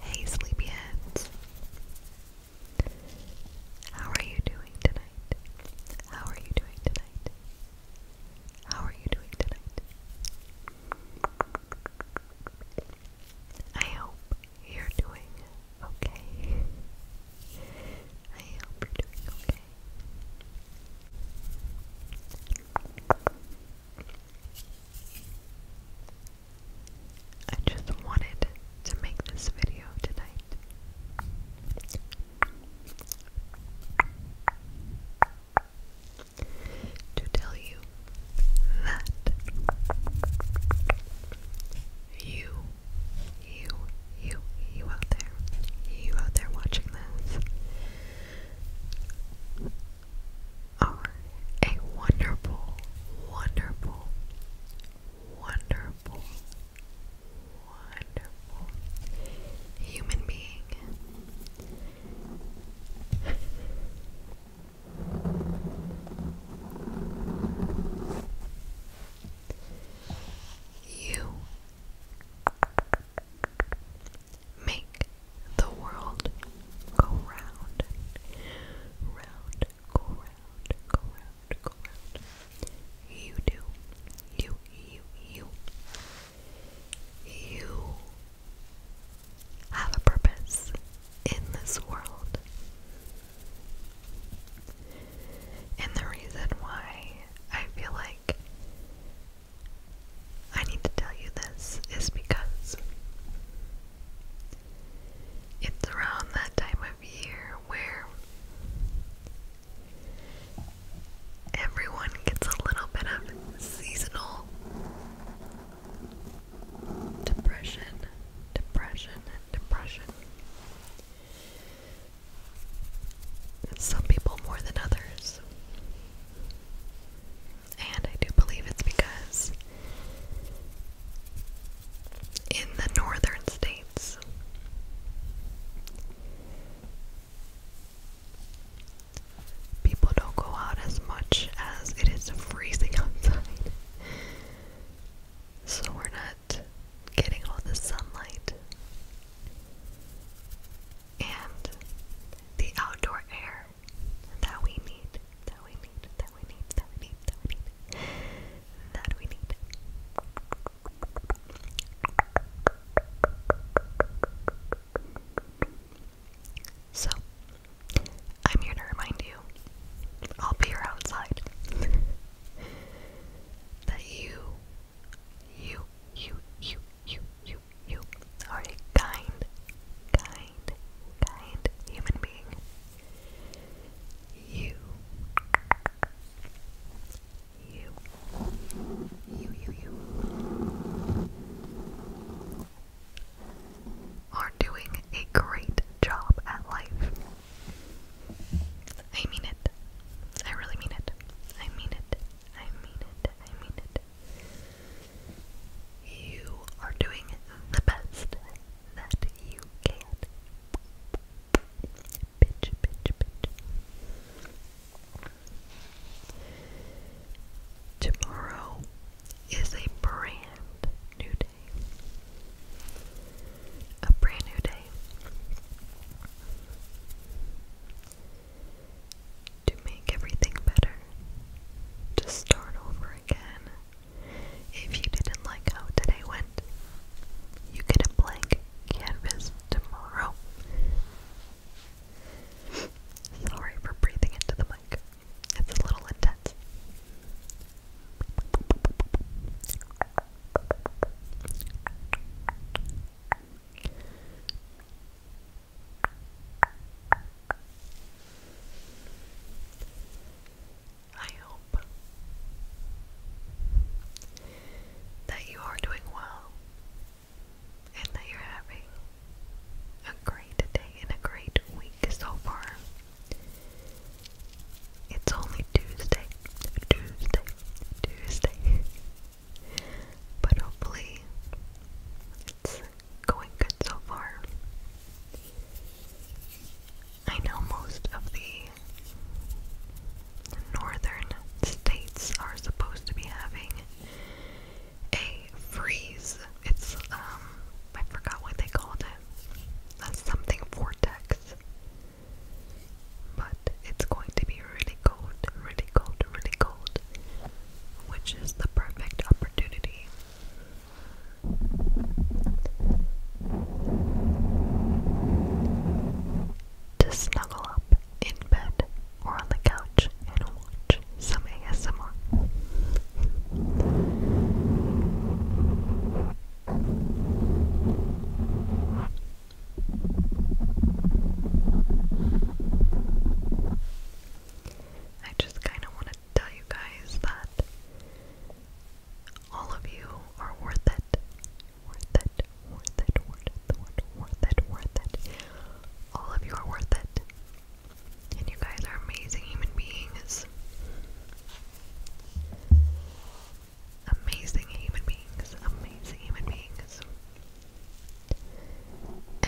Hey, sleepyheads. How are you doing tonight? How are you doing tonight? How are you doing tonight? I hope you're doing okay. I hope you're doing okay. I just wanted to make this video tonight. To tell you that you you, you, you out there. You out there watching this are a wonderful, wonderful, wonderful, wonderful human being. You make the world go round, round, go round, go round, go round. You do, you, you, you. You have a purpose in this world. And the reason why I feel like I need to tell you this is because it's around that time of year where everyone gets a little bit of seasonal depression, depression, depression some people more than others. And I do believe it's because in the northern states, people don't go out as much as it is freezing outside. So we're not getting all the sunlight and the outdoor air that we need, that we need, that we need, that we need, that we need, that we need. So, I'm here to remind you I'll be here outside. that you, you, you, you, you, you, you are a kind, kind, kind human being. You, you, you, you, you are doing a great job at life. I mean it. I really mean it. I mean it. I mean it. I mean it. You are doing the best that you can. Bitch, bitch, bitch. Tomorrow is a brand new day a brand new day. To make everything better, to start over again. If you didn't like how today went, you get a blank canvas tomorrow. Sorry for breathing into the mic, it's a little intense. I hope that you are doing well and that you're having a great day and a great week so far. It's only Tuesday, Tuesday, Tuesday. But hopefully, it's going good so far. I know most of the northern states are supposed to be having a freeze. It's, um, I forgot what they called it. That's something vortex. But it's going to be really cold, really cold, really cold, which is the perfect opportunity. To snuggle up in bed or on the couch and watch some ASMR. I just kind of want to tell you guys that all of you are worth it. Worth it, worth it, worth it, worth it, worth it, worth it. All of you are worth it. And you guys are amazing human beings amazing human beings, amazing human beings.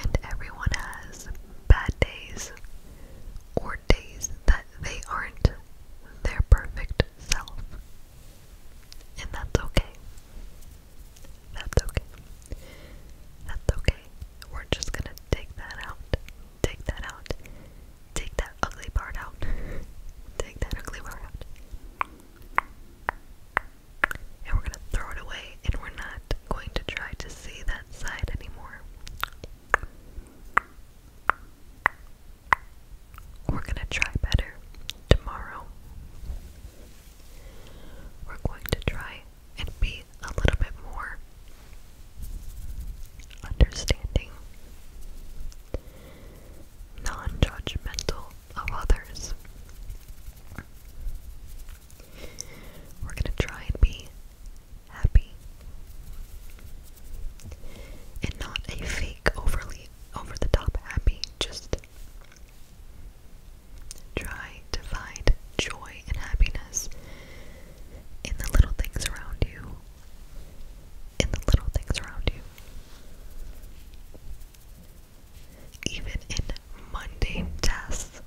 And everyone has bad days or days that they aren't their perfect self. And that's okay. That's okay. That's okay. We're just gonna take that out. Take that out. Take that ugly part out. Take that ugly part out. And we're gonna throw it away and we're not going to try to see that side anymore. We're gonna try better tomorrow. We're going to try and be a little bit more understanding non judgmental of others. We're going to try and be happy and not a fake, overly over the top happy, just try to find joy and happiness in the little things around you in the little things around you. Even in mundane tasks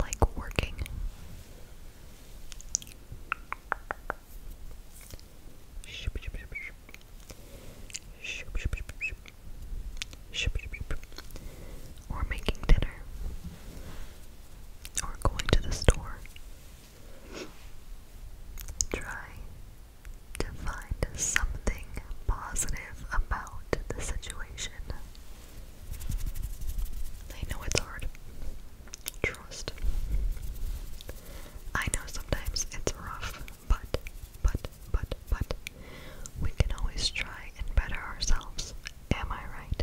like working, or making dinner, or going to the store, Try to find something positive about the situation. I know it's hard. Trust. I know sometimes it's rough, but, but, but, but, we can always try and better ourselves. Am I right?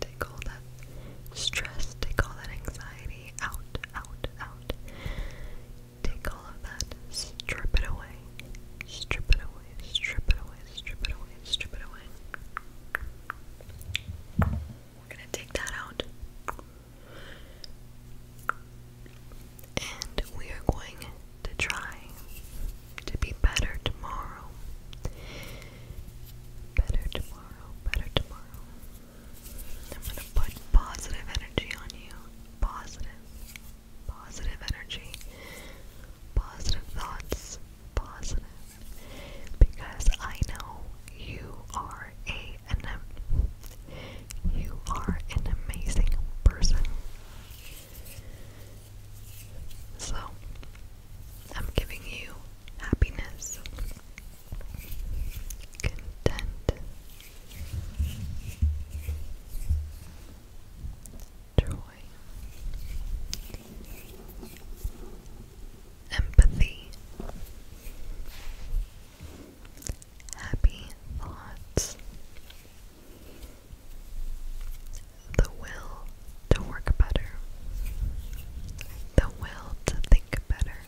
Take all that stress, take all that anxiety out, out, out. Take all of that, strip it away, strip it away, strip it away, strip it away, strip it away. We're gonna take that out. And we are going to try to be better tomorrow. Better tomorrow, better tomorrow. I'm going to put positive energy on you. Positive, positive Positive energy, positive thoughts, positive. Because I know you are a an you are an amazing person. So, I'm giving you happiness, content, joy, empathy, happy thoughts. The will to work better. The will to think better.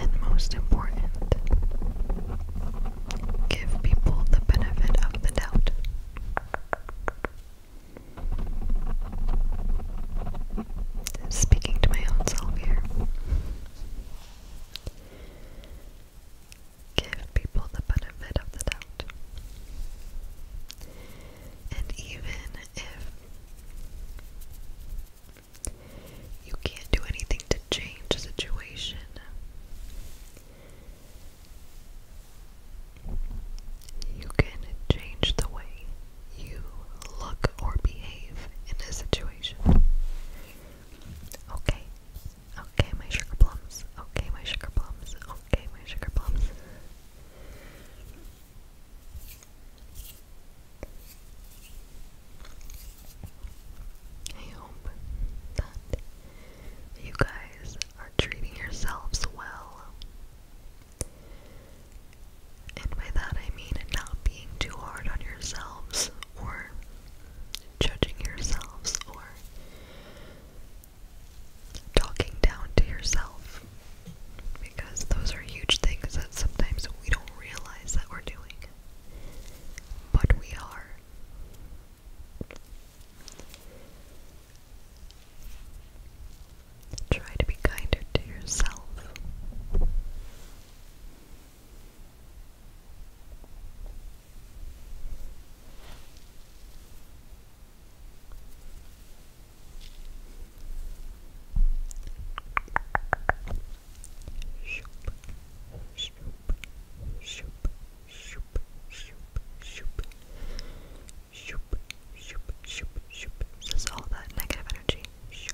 And most important, give people the benefit of the doubt. Speaking to my own self here. Give people the benefit of the doubt. And even if you can't do anything to change the situation, you can change the way you look or behave in this situation. Okay. Okay, my sugar plums. Okay, my sugar plums. Okay, my sugar plums. I hope that you guys are treating yourselves well and by that I mean not being too hard on yourselves or judging yourselves or talking down to yourself. Because those are huge things that sometimes we don't realize that we're doing. But we are. Try to be kinder to yourself. Shoop, shoop, shoop, shoop, shoop, shoop, shoop, shoop, shoop, shoop. This is all that negative energy. Shoop.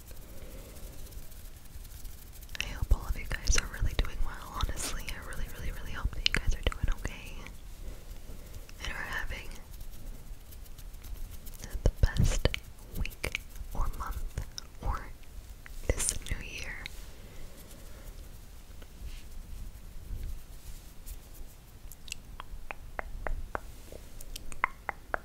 I hope all of you guys are really doing well, honestly. I really, really, really hope that you guys are doing okay and are having the best week or month or this new year.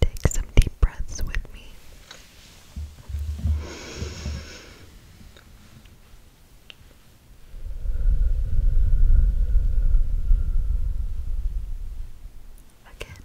Take some deep breaths with me. Again.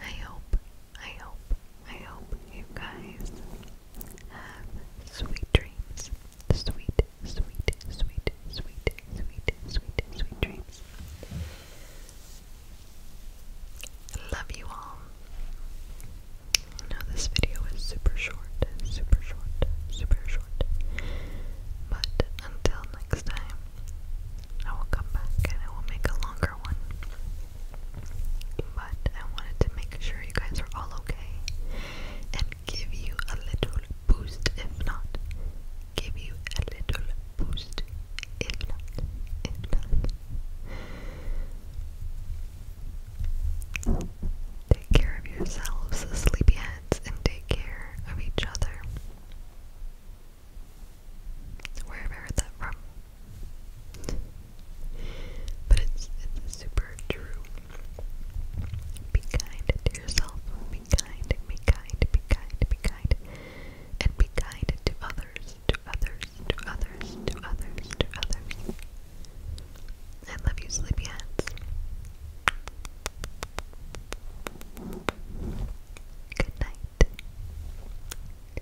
I hope, I hope, I hope you guys have sweet dreams. Sweet, sweet, sweet, sweet, sweet, sweet, sweet dreams. Love you all. I know this video is super short, super short, super short. But until next time, I will come back and I will make a longer one. But I wanted to make sure you guys are all okay and give you a little boost if not. Give you a little boost if not. If not. Take care of yourselves, sleepyheads, and take care of each other. Where that from? But it's it's super true. Be kind to yourself. Be kind. Be kind. Be kind. Be kind. And be kind to others. To others. To others. To others. To others. I love you, sleepyheads. Good night.